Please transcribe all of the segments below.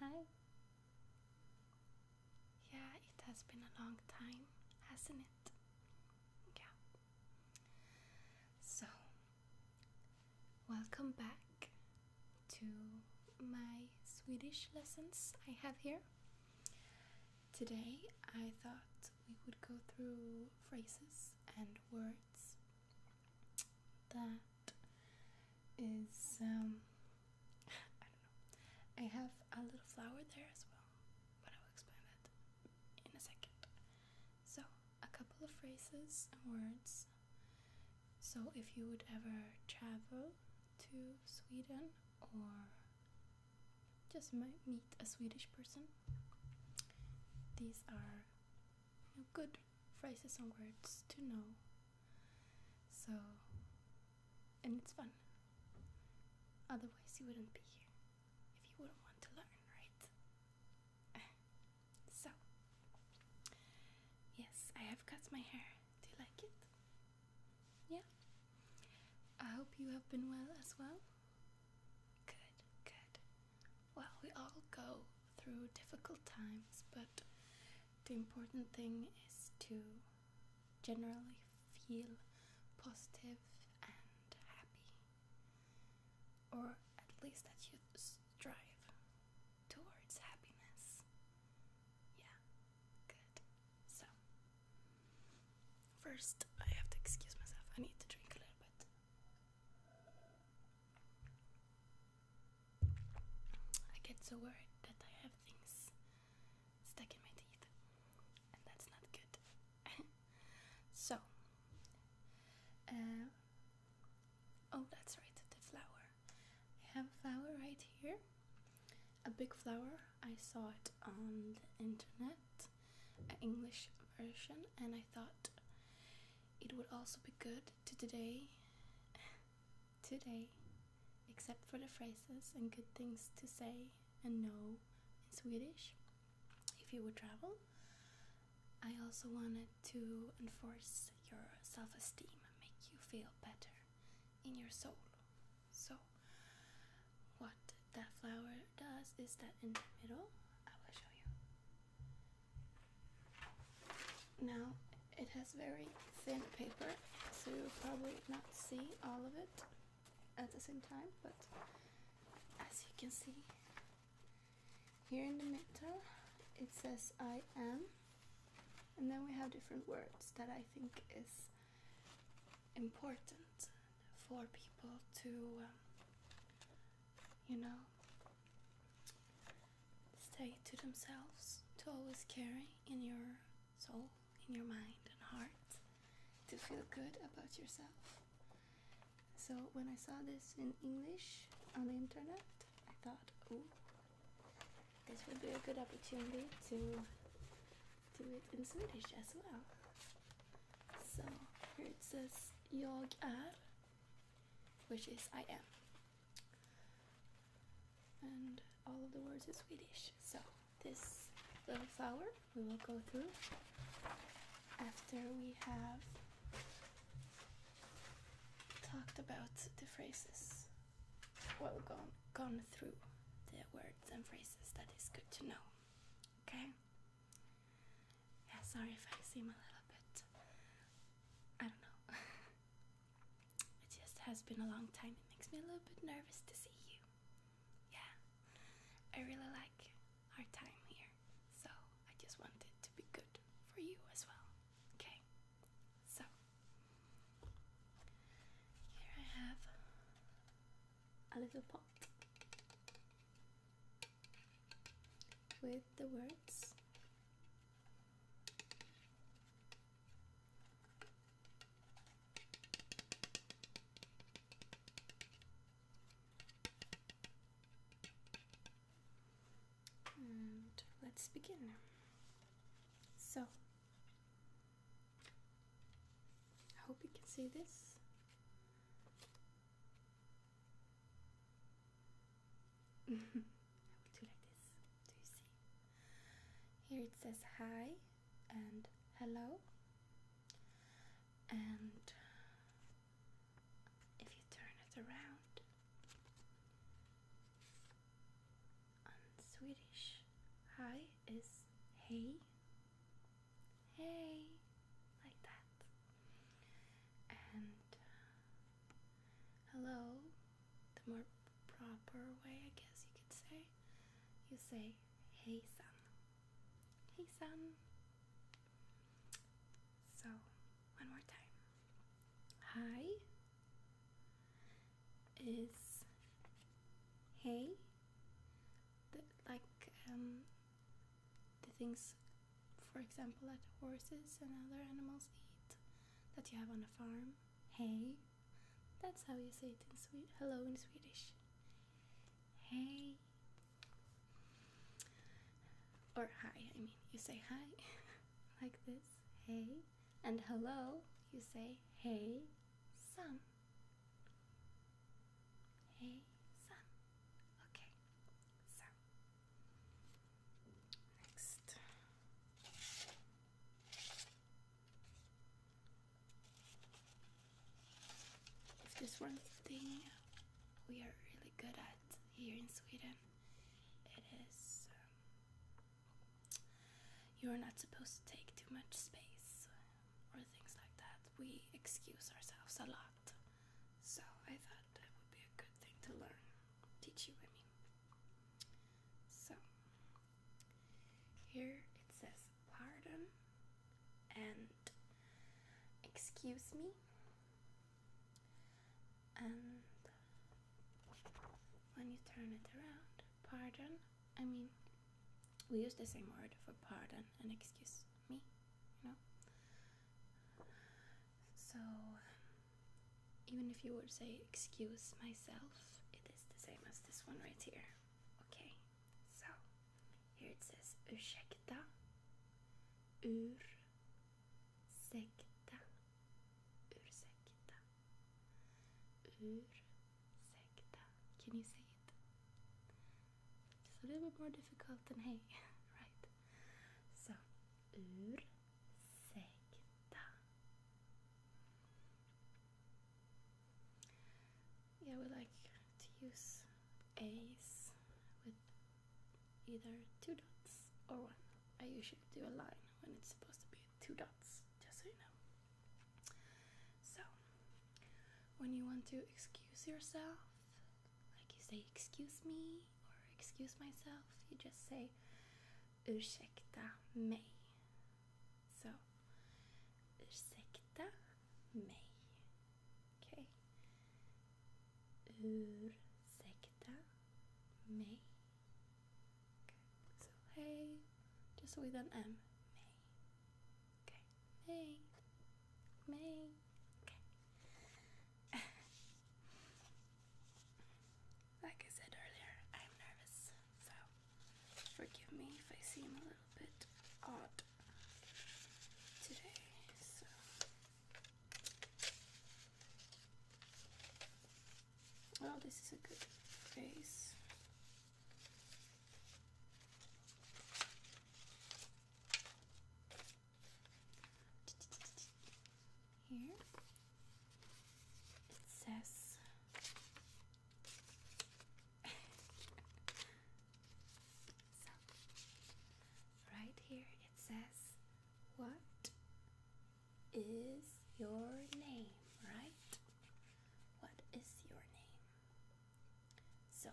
Hi. Yeah, it has been a long time, hasn't it? Yeah. So, welcome back to my Swedish lessons I have here. Today I thought we would go through phrases and words that is um, I don't know. I have a little flower there as well, but I will explain that in a second. So, a couple of phrases and words. So, if you would ever travel to Sweden or just might meet a Swedish person, these are good phrases and words to know. So, and it's fun. Otherwise, you wouldn't be here if you wouldn't want to learn, right? so, yes, I have cut my hair. Do you like it? Yeah? I hope you have been well as well. Good, good. Well, we all go through difficult times, but the important thing is to generally feel positive and happy, or at least that you strive towards happiness. Yeah, good. So, first, I have to excuse myself, I need to drink a little bit. I get so worried that I have things stuck in my teeth, and that's not good. so, uh, oh, that's right, the flower. I have a flower right here, a big flower. I saw it on the internet, an English version, and I thought it would also be good to today today, except for the phrases and good things to say and know in Swedish if you would travel. I also wanted to enforce your self esteem and make you feel better in your soul. So, what that flower does is that in the middle, I will show you. Now it has very thin paper, so you'll probably not see all of it at the same time, but as you can see here in the middle it says I am and then we have different words that I think is important for people to um, you know Stay to themselves to always carry in your soul, in your mind and heart to feel good about yourself. So when I saw this in English on the internet, I thought, oh, this would be a good opportunity to do it in Swedish as well. So here it says jag är, which is I am and all of the words in Swedish. So this little flower we will go through after we have talked about the phrases. Well, gone gone through the words and phrases. That is good to know. Okay. Yeah, sorry if I seem a little bit. I don't know. It just has been a long time. It makes me a little bit nervous to see you. Yeah, I really like our time here, so I just want it to be good for you as well. Okay, so here I have a little pot with the words let's begin. So, I hope you can see this. I will do like this. Do you see? Here it says hi and hello. And if you turn it around on Swedish, hi is hey, hey, like that. And uh, hello the more proper way, I guess you could say, you say, hey son. Hey son. So, one more time. Hi is hey. like um, the things, for example, that horses and other animals eat that you have on a farm. Hey. That's how you say it in Swedish. Hello in Swedish. Hey. Or hi, I mean, you say hi like this. Hey. And hello, you say hey, son. Hey, son. Okay, so Next. If there's one thing we are really good at here in Sweden, it is um, you're not supposed to take too much space or things like that. We excuse ourselves a lot. So I thought that would be a good thing to learn. Teach you, I mean. So, here it says pardon and excuse me and when you turn it around pardon i mean we use the same word for pardon and excuse me you know so, even if you would say, excuse myself, it is the same as this one right here. Okay, so here it says "ur "ur ursäkta, "ur ursäkta. Can you say it? It's a little bit more difficult than hey, right? So, "ur." Sakta. Yeah, we like to use A's with either two dots or one. I usually do a line when it's supposed to be two dots, just so you know. So, when you want to excuse yourself, like you say, excuse me, or excuse myself. You just say ursäkta mig. So ursäkta mig. Okay. Ursäkta mig. Okay. So hey, just with an M. Okay. May. May. Okay. Like I said earlier, I'm nervous, so forgive me if I seem a little bit odd today. So. Oh, this is a good face here. It says so right here it says what is your name, right? What is your name? So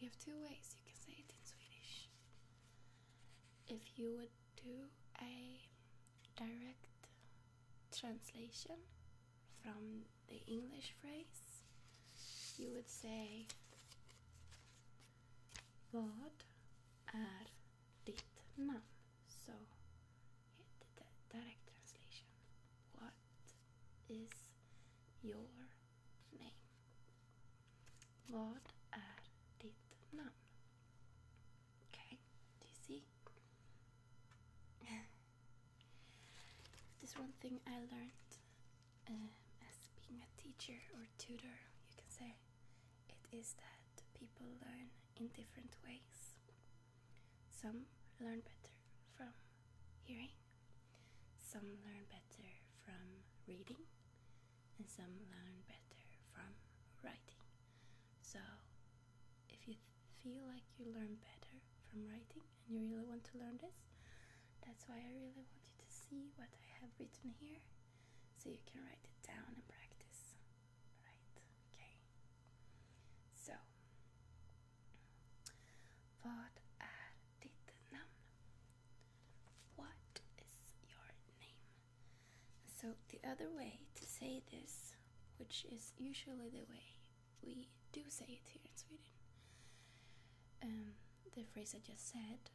you have two ways you can say it in Swedish. If you would do a direct translation from the English phrase, you would say Vad är ditt namn? So, the direct translation. What is your name? What är ditt namn? Okay, do you see? There's one thing I learned um, as being a teacher or tutor, you can say, it is that people learn in different ways. Some learn better from hearing, some learn better from reading, and some learn better from writing. So, if you feel like you learn better from writing and you really want to learn this, that's why I really want you to see what I have written here so you can write it down and practice. Right? Okay. So, What is your name? So, the other way to say this, which is usually the way we do say it here in Sweden, um, the phrase I just said,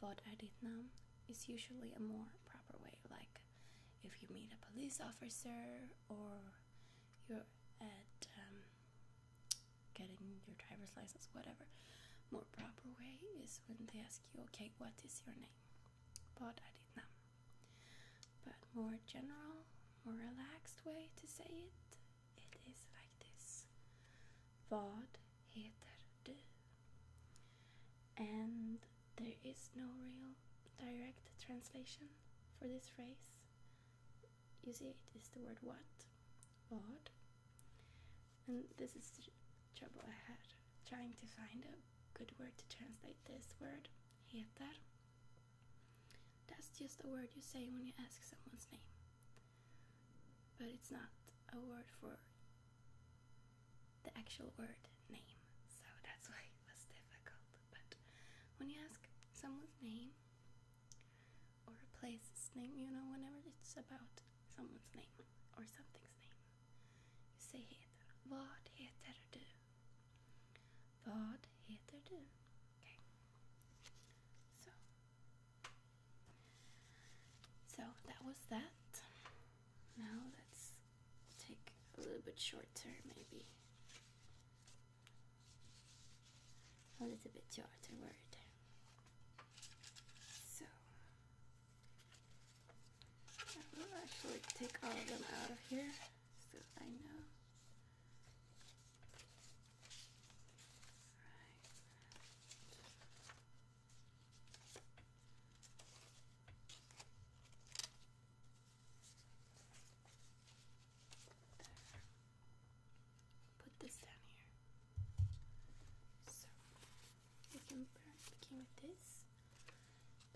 Vad är ditt namn, is usually a more proper way, like if you meet a police officer or you're at um, getting your driver's license, whatever. More proper way is when they ask you, okay, what is your name? Vad är ditt namn? But more general, more relaxed way to say it, it is like this. Vad heter du? And there is no real direct translation for this phrase. You see, it is the word what. Vad and this is the trouble I had trying to find a good word to translate this word, heter. That's just a word you say when you ask someone's name. But it's not a word for the actual word name, so that's why it was difficult. But when you ask someone's name or a place's name, you know, whenever it's about someone's name or something's name, Säg heter Vad heter du? Vad heter du? Okay. so that was that. Now let's take a little bit shorter maybe. A little bit shorter word. So I will actually take all of them out of here so I know. Put this down here. So can begin with this,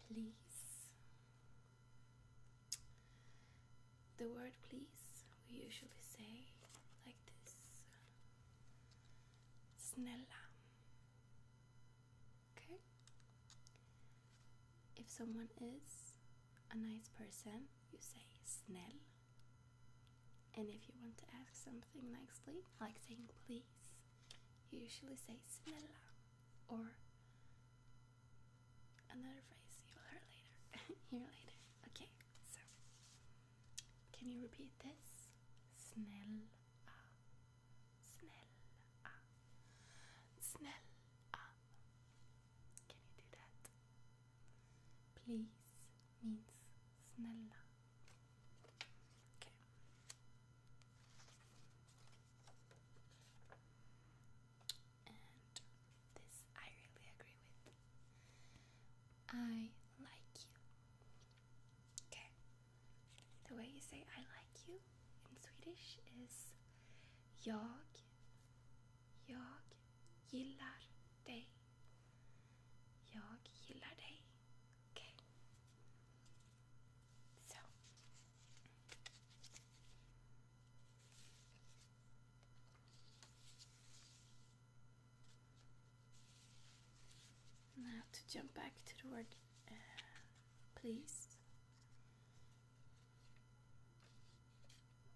please. The word please we usually say like this Snella. Okay? If someone is a nice person, you say snell. And if you want to ask something nicely, like saying please you usually say snella or another phrase you will hear later Here later okay so can you repeat this snella snella snella can you do that please means Snälla. Okay. And this I really agree with. I like you. Okay. The way you say I like you in Swedish is Jag, jag gillar dig. Jag gillar dig. Okej. Okay. Så. Now to jump back to the word uh, please.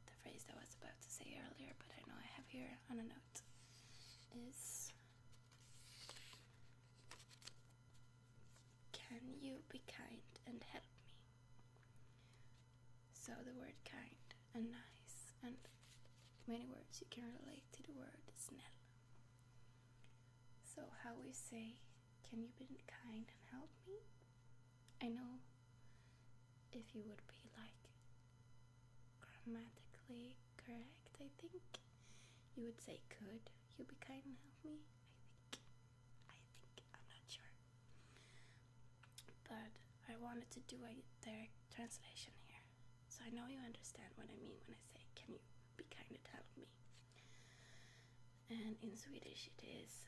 The phrase I was about to say earlier, but I know I have here on a note, is can you be kind and help me? So the word kind and nice and many words you can relate to the word "snell." So how we say, can you be kind and help me? I know if you would be like grammatically correct? I think you would say, Could you be kind and help me? I think. I think. I'm not sure. But I wanted to do a translation here. So I know you understand what I mean when I say, Can you be kind and help me? And in Swedish it is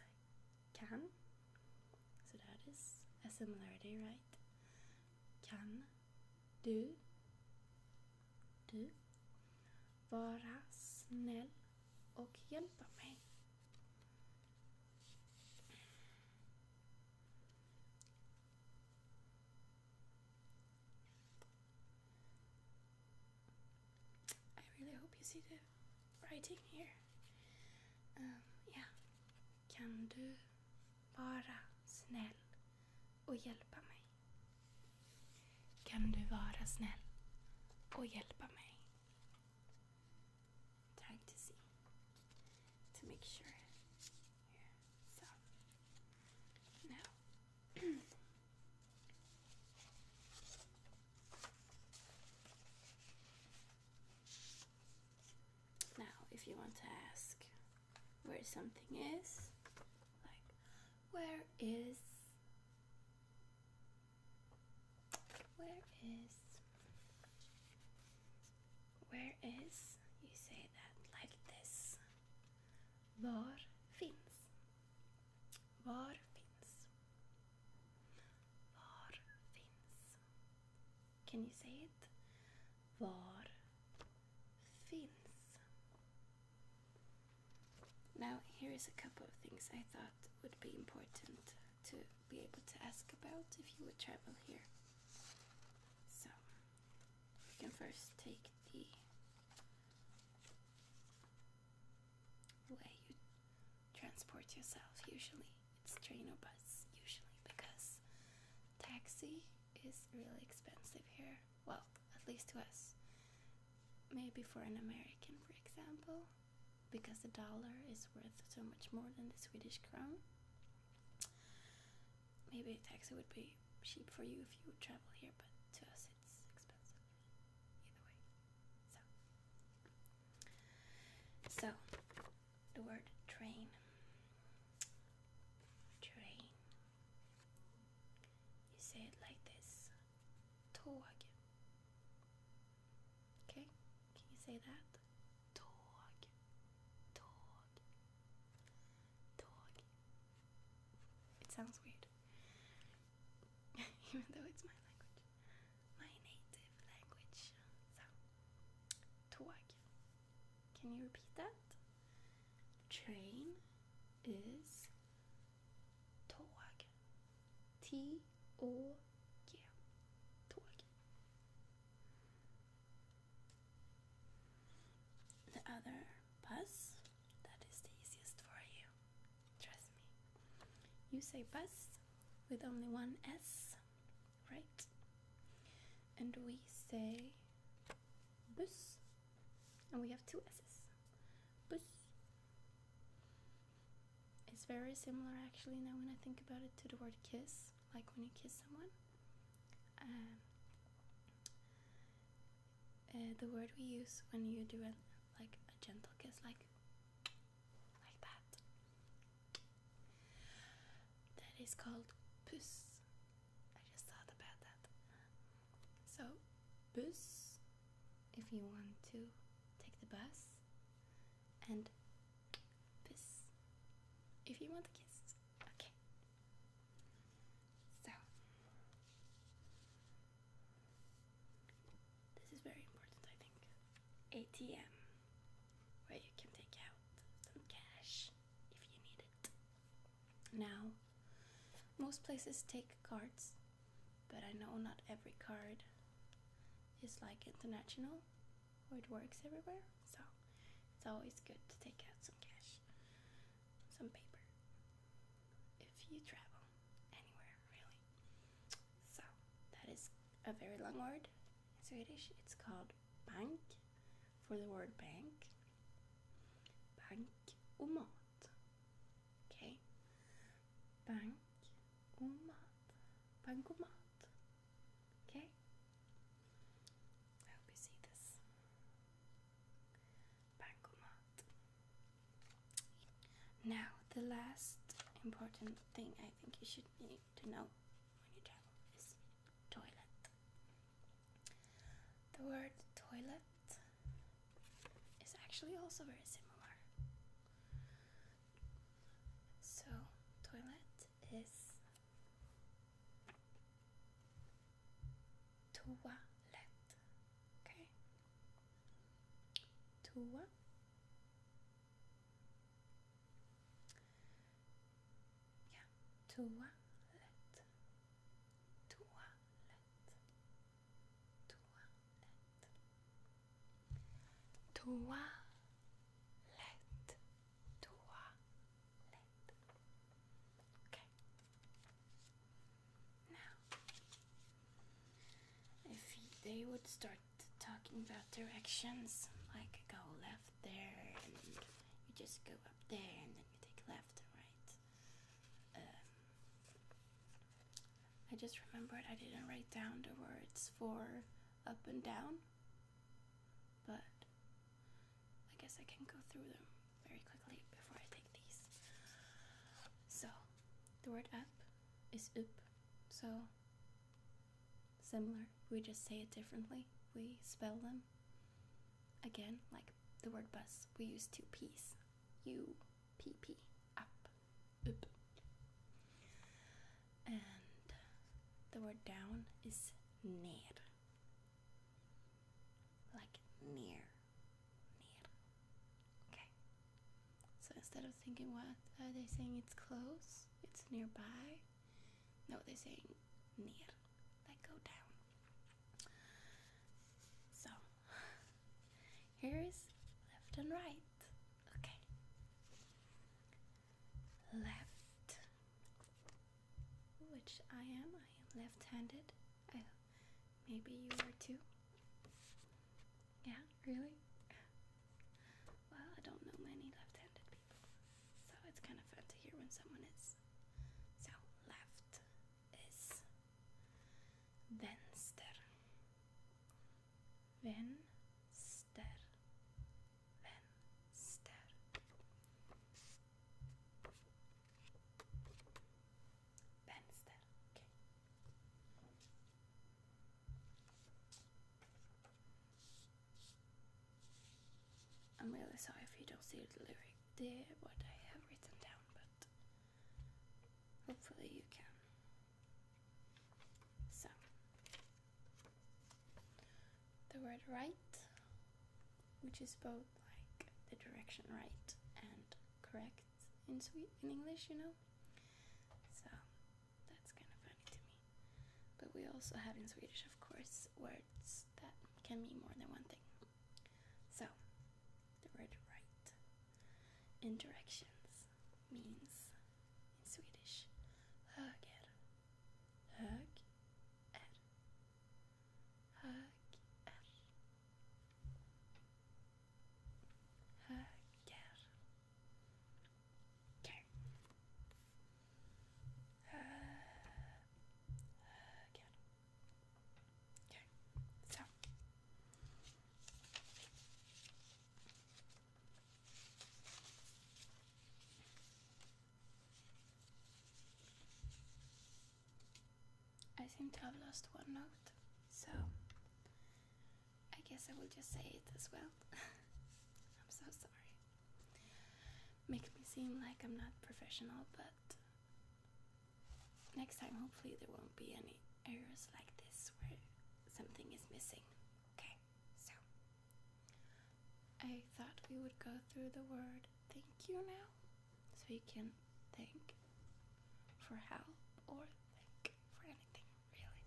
kan. So that is a similarity, right? Can. Du. Du. Vara snäll och hjälpa mig. I really hope you see the writing here. Um, yeah. Kan du vara snäll och hjälpa mig? Kan du vara snäll och hjälpa mig? Trying to see, to make sure. Yeah. So, now. now, if you want to ask where something is. Like, where is. Where is. Where is. You say that like this. Var finns. Var finns. Var finns. Can you say it? var finns. Now, here is a couple of things I thought would be important to be able to ask about if you would travel here. So, we can first take the way you transport yourself usually. It's train or bus usually because taxi is really expensive here. Well, at least to us. Maybe for an American, for example, because the dollar is worth so much more than the Swedish crown. Maybe a taxi would be cheap for you if you would travel here, but to us it's expensive. Either way. so the word train. Train. You say it like this. Tåg. Okay? Can you say that? Tåg. Tåg. Tåg. It sounds weird. Even though it's my language. My native language. So tåg. Can you repeat that? Train is tåg. T-O-G. Tåg. The other bus, that is the easiest for you. Trust me. You say bus with only one S, right? And we say bus, and we have two s's. Bus. It's very similar, actually. Now when I think about it, to the word kiss, like when you kiss someone. Um, uh, the word we use when you do a, like a gentle kiss, like like that, that is called puss. I just thought about that. So, bus, if you want to take the bus, and bus, if you want to kiss. Okay. So, this is very important, I think. ATM, where you can take out some cash if you need it. Now, most places take cards, but I know not every card is like international or it works everywhere, so it's always good to take out some cash, some paper, if you travel anywhere really. So, that is a very long word in Swedish, it's called bank for the word bank Bank och mat. Okay. Bank och mat. Bank och mat. Okay. I hope you see this. Bankomat. Now, the last important thing I think you should need to know when you travel is toilet. The word toilet is actually also very similar. So, toilet is toilet. Okay? Toa. Yeah, toilet toilette, toilette, toilette. Okay. Now, if they would start talking about directions, like go left there, and you just go up there, and take left and right. Um, I just remembered I didn't write down the words for up and down, but I guess I can go through them very quickly before I take these. So, the word up is up, so similar. We just say it differently, we spell them. Again, like the word bus, we use two P's. U P P. Up. And the word down is near. Like near. Near. Okay. So instead of thinking what are they saying it's close, it's nearby. No, they're saying near. Like go down. So here is left and right. Okay. Left, which I am. I am left-handed. maybe you are too. Yeah, really? Well, I don't know many left-handed so it's kind of fun to hear when someone is. So left is vänster. Vänster. Vänster. Vänster. Okay. I'm really sorry if you don't see the lyrics the what I have written down, but hopefully you can. So, the word right, which is both like the direction right and correct in Swedish, in English, you know. So that's kind of funny to me. But we also have in Swedish, of course, words that can mean more than one thing. So, the word right in directions means in Swedish höger, hög är, höger again. Okay, so I seem to have lost one note, so I guess I will just say it as well. I'm so sorry. Makes me seem like I'm not professional, but next time hopefully there won't be any errors like this where something is missing. Okay, so I thought we would go through the word thank you now so you can thank for help or thank for anything really.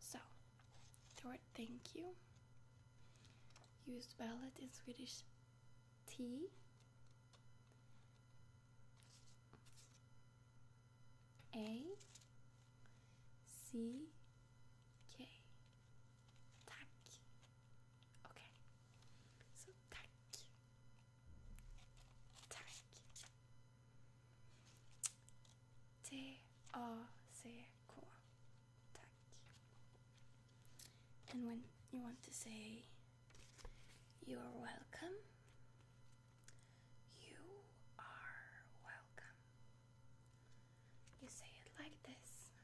So, the word thank you, used spell in Swedish T A C K. Tack. Okay. So tack. Tack. T A C K. And when you want to say you're welcome, you are welcome. You say it like this.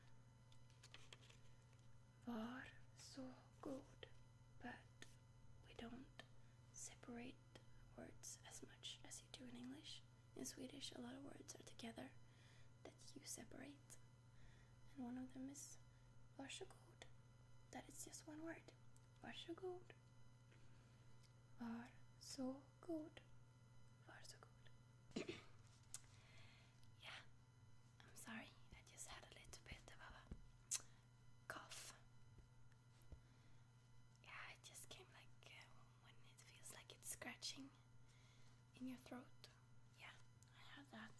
Var så god, but we don't separate words as much as you do in English. In Swedish, a lot of words are together that you separate and one of them is varsågod. That is just one word. Varsågod. Var so good. Var so good. yeah, I'm sorry. I just had a little bit of a cough. Yeah, it just came like uh, when it feels like it's scratching in your throat yeah, I had that.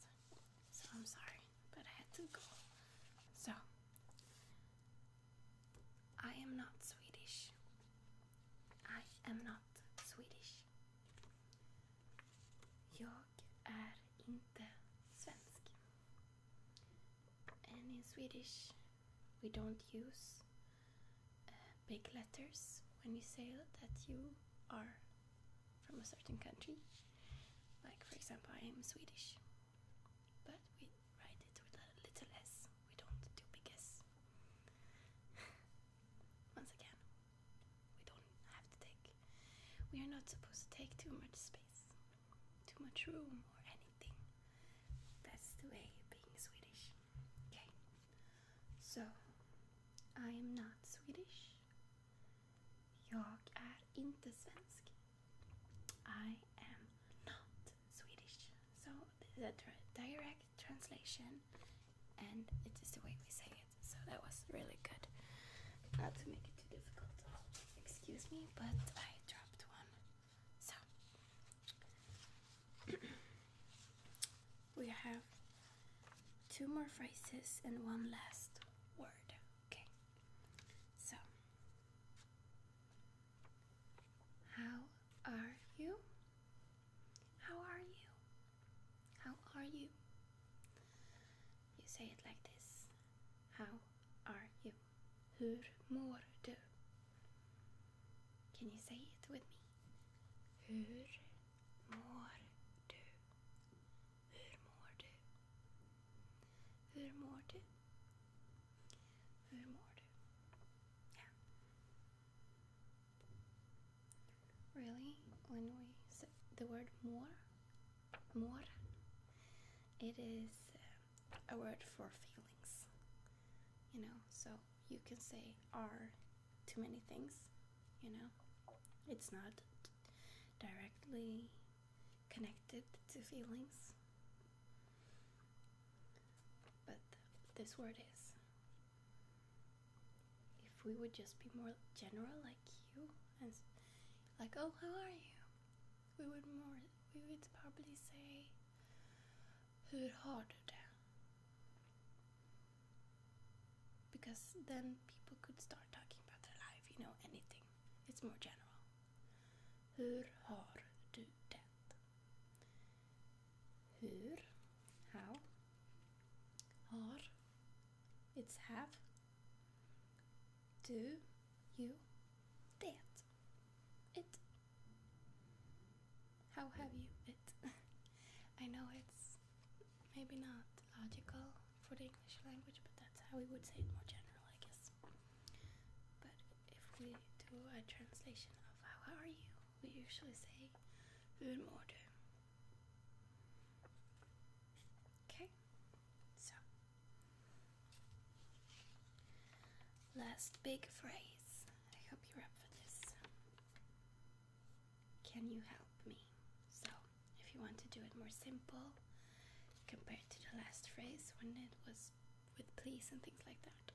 So I'm sorry, but I had to go. So, I am not Swedish. I am not Swedish. Jag är inte svensk. And in Swedish, we don't use uh, big letters when you say that you are from a certain country. Like, for example, I am Swedish, but we write it with a little s. We don't do big s. Once again, we don't have to take. We are not supposed to take too much space, too much room, or anything. That's the way being Swedish. Okay. So, I am not Swedish. Jag är inte svensk. I am not Swedish. So, the direct translation, and it is the way we say it. So, that was really good. Not to make it too difficult. Excuse me, but I dropped one. So, we have two more phrases and one last word. Okay, so how are you? How are you? How are you? You say it like this. How are you? Hur mår du? Can you say it with me? Hur mår du? Hur mår du? Hur mår du? Hur mår du? Yeah. Really, when we say the word more, more, it is uh, a word for feelings. You know, so you can say are too many things you know it's not directly connected to feelings but this word is if we would just be more general like you and like oh how are you we would more we would probably say hur har du det because then people could start talking about their life, you know, anything. It's more general. Hur har du det? Hur, how, har, it's have, Do you, det, it. How have you it? I know it's maybe not logical for the English language, but that's how we would say it more general, I guess. But if we do a translation of how are you, we usually say Hur mår du? Okay, so last big phrase. I hope you're up for this can you help me? So, if you want to do it more simple compared to the last phrase when it was with please and things like that,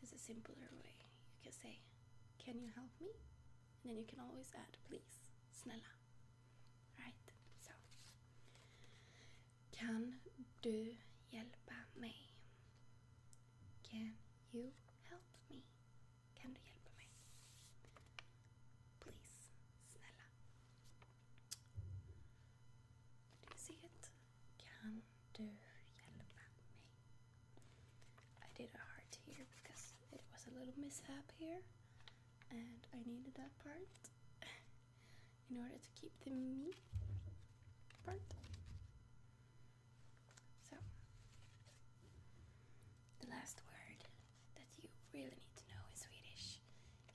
this is a simpler way. You can say, Can you help me? And then you can always add please, snälla. Right? So, Kan du hjälpa mig? Can you help me? Kan du hjälpa mig? Please, snälla. Lysighet, kan du hjälpa mig? I did a hard tear because it was a little mishap here and I needed that part in order to keep the me part. So, the last word that you really need to know in Swedish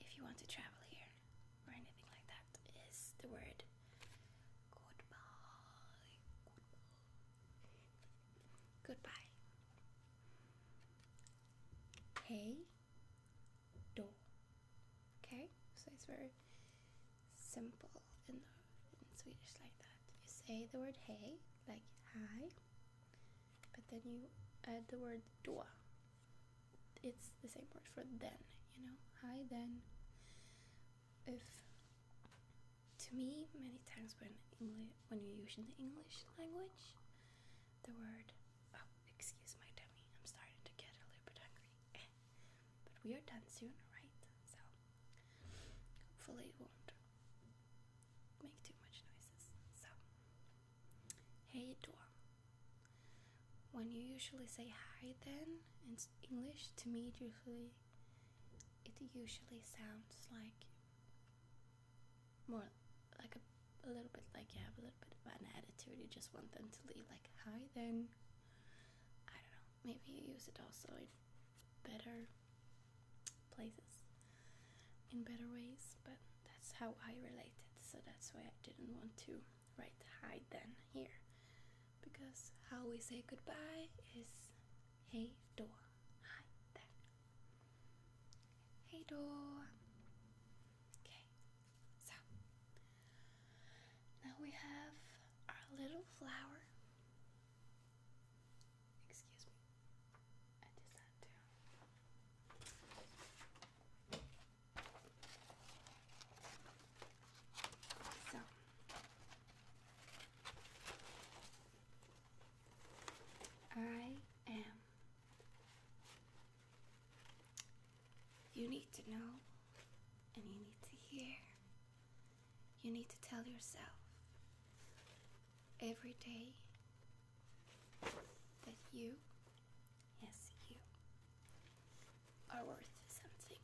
if you want to travel here or anything like that is the word goodbye. Goodbye. Hey do. Okay? So it's very simple and in Swedish like that. You say the word hey, like hi, but then you add the word "dua." It's the same word for then, you know? Hi then. If to me, many times when when you use in the English language, the word oh, excuse my tummy, I'm starting to get a little bit hungry. but we are done soon, right? So Hopefully, it won't make too much noises. So, hey, toi. When you usually say hi, then in English, to me, usually it usually sounds like more like a, little bit like you have a little bit of an attitude. You just want them to leave, like hi, then. I don't know. Maybe you use it also in better places in better ways, but that's how I related, so that's why I didn't want to write hi then here. Because how we say goodbye is hey door, hi there. Hey door." Okay, so now we have our little flower. Excuse me. I did that too. So I am. You need to know, and you need to hear, you need to tell yourself every day that you, yes, you, are worth something.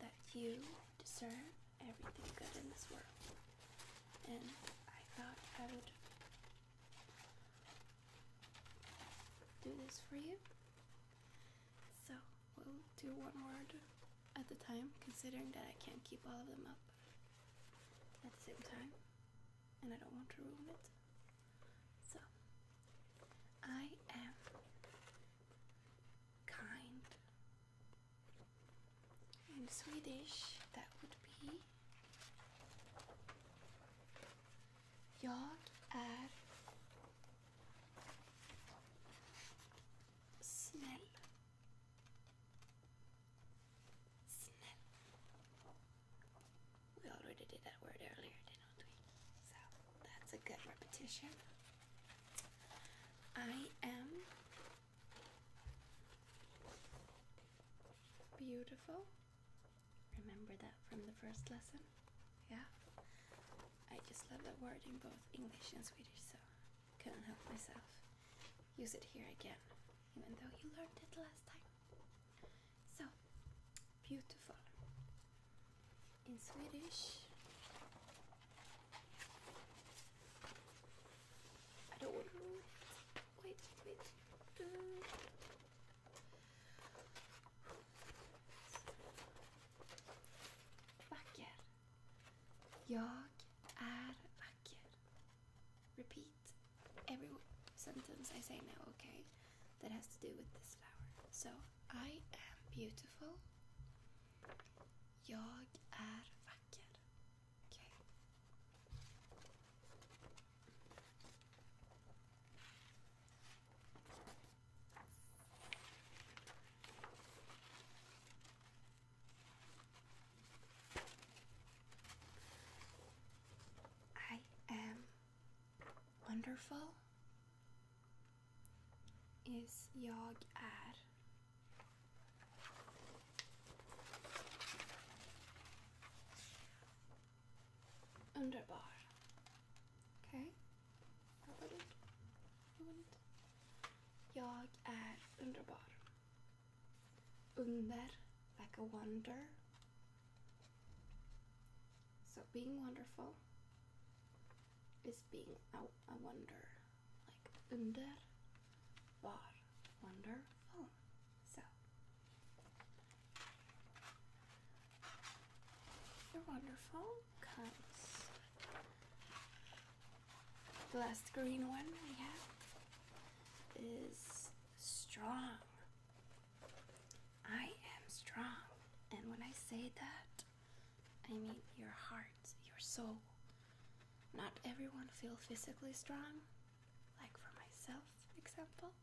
That you deserve everything good in this world. And I thought I would do this for you. So we'll do one word at the time, considering that I can't keep all of them up at the same time, and I don't want to ruin it. So I am kind. In Swedish, that would be. Jag är snäll. Snäll. We already did that word earlier, didn't we? So that's a good repetition. I am beautiful. Remember that from the first lesson? Yeah? I just love that word in both English and Swedish, so couldn't help myself. Use it here again, even though you learned it last time. So, beautiful. In Swedish, I don't want Wait, wait. Vacker. Jag är vacker. Repeat every sentence I say now, okay? That has to do with this flower. So, I am beautiful. Jag är vacker. Okay. I am wonderful. Is jag är. Underbar. Okay? Jag är underbar. Under, like a wonder. So being wonderful is being a, a wonder. Like underbar, wonderful. So you're wonderful the last green one we have is strong. I am strong. And when I say that, I mean your heart, your soul. Not everyone feel physically strong, like for myself, example.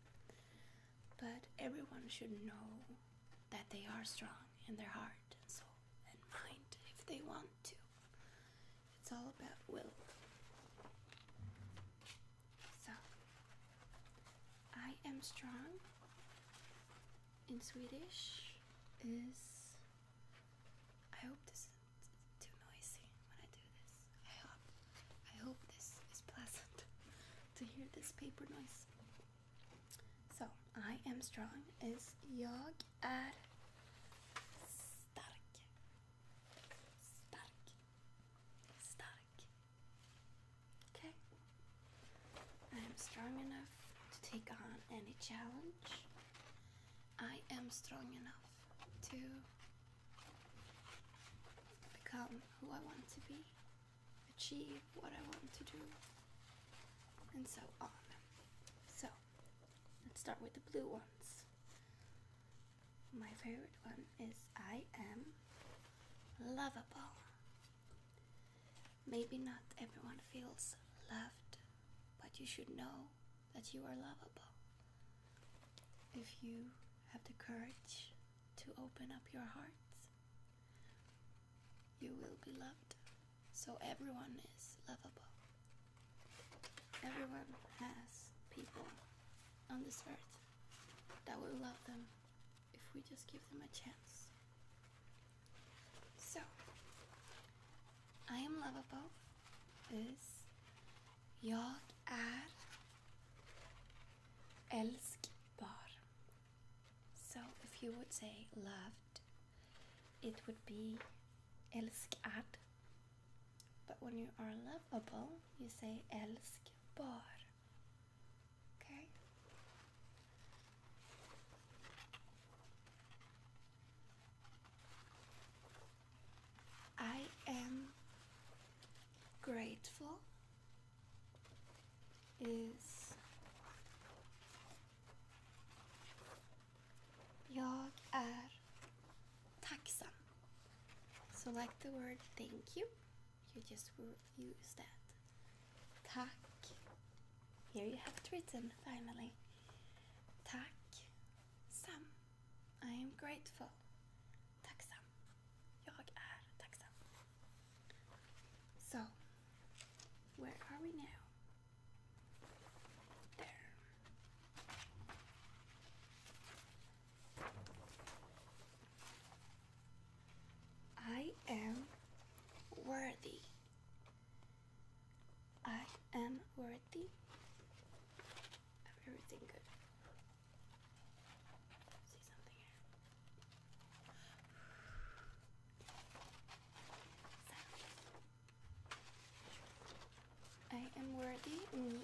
But everyone should know that they are strong in their heart and soul and mind if they want to. It's all about will. So, I am strong in Swedish is. I hope this is too noisy when I do this. I hope. I hope this is pleasant to hear this paper noise. So, I am strong is jag är stark. I am strong enough to take on any challenge. I am strong enough to become who I want to be, achieve what I want to do, and so on. So, let's start with the blue ones. My favorite one is I Am Lovable. Maybe not everyone feels loved, but you should know that you are lovable. If you have the courage to open up your heart, you will be loved so everyone is lovable. Everyone has people on this earth that will love them if we just give them a chance. So, I am lovable is Jag är älskbar. So if you would say loved it would be älskad. But when you are lovable, you say älskbar. Okay? I am grateful is Jag är tacksam. So like the word thank you, you just use that. Tack. Here you have it written finally. Tack. I am grateful. Tacksam. Jag är tacksam. So, where are we now? I am worthy. I am worthy of everything good. See something here. I am worthy.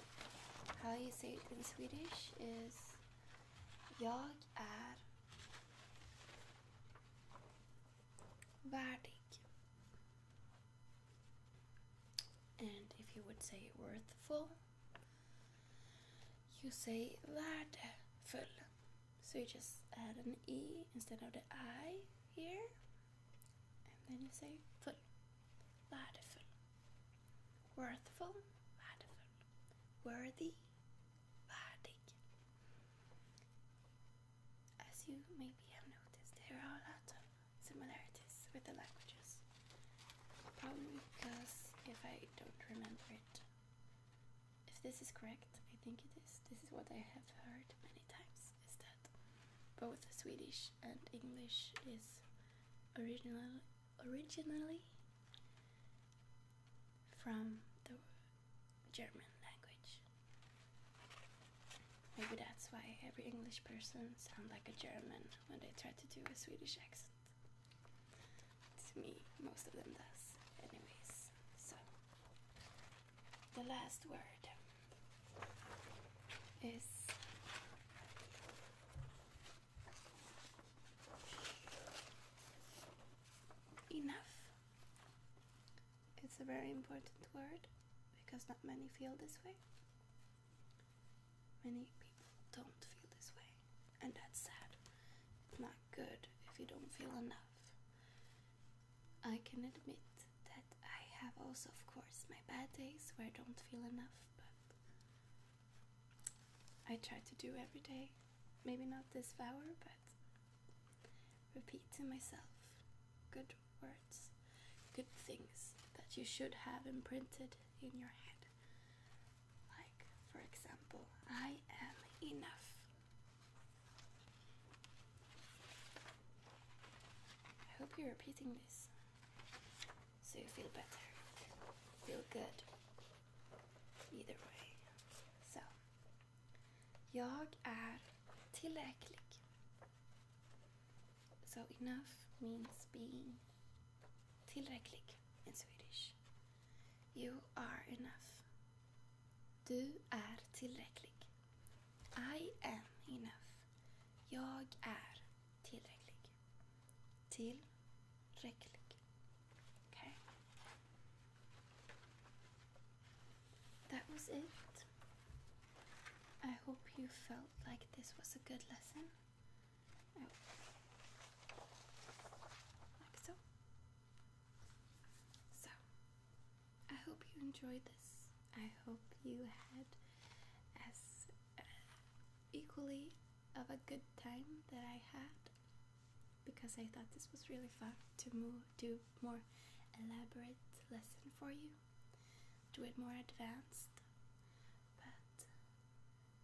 How you say it in Swedish is Jag är värdig. And if you would say worthful, you say värdefull. So you just add an E instead of the I here, and then you say full, värdefull, worthful, värdefull, worthy, värdig. As you maybe have noticed, there are a lot of similarities with the languages. Probably because if I don't remember it if this is correct, I think it is, this is what I have heard many times, is that both Swedish and English is original, originally from the German language. Maybe that's why every English person sounds like a German when they try to do a Swedish accent. To me, most of them does, anyways. So the last word is enough. It's a very important word because not many feel this way. Many people don't feel this way, and that's sad. It's not good if you don't feel enough. I can admit that I have also, of course, my bad days where I don't feel enough, but I try to do every day. Maybe not this hour, but repeat to myself good words, good things that you should have imprinted in your head. Like, for example, I am enough. I hope you're repeating this so you feel better, feel good. Either way. So. Jag är tillräcklig. So enough means being tillräcklig in Swedish. You are enough. Du är tillräcklig. I am enough. Jag är tillräcklig. Tillräcklig. Okay. That was it. I hope you felt like this was a good lesson. Oh. Like so. So, I hope you enjoyed this. I hope you had as uh, equally of a good time that I had because I thought this was really fun to move, do more elaborate lesson for you, do it more advanced.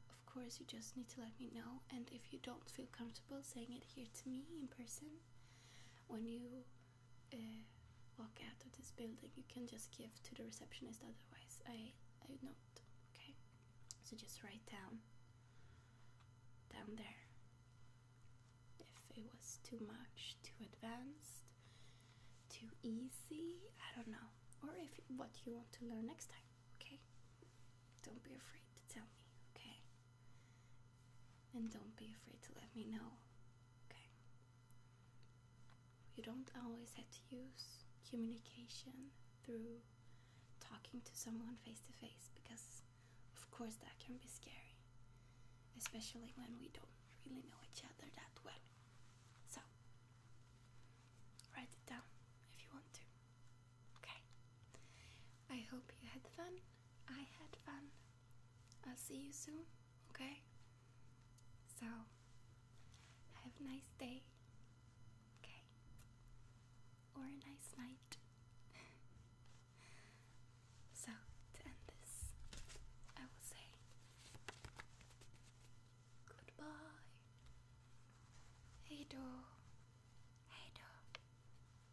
But of course, you just need to let me know, and if you don't feel comfortable saying it here to me in person, when you eh, walk out of this building, you can just give to the receptionist. Otherwise, I I don't. Okay, so just write down down there if it was too much, too advanced, too easy. I don't know, or if what you want to learn next time. Okay, don't be afraid to tell me. Okay, and don't be afraid to let me know, okay? You don't always have to use communication through talking to someone face to face because, of course, that can be scary, especially when we don't really know each other that well. So, write it down if you want to. Okay? I hope you had fun. I had fun. I'll see you soon, okay? So, have a nice day, okay? Or a nice night. so, to end this, I will say goodbye. Hey, door. Hey, door.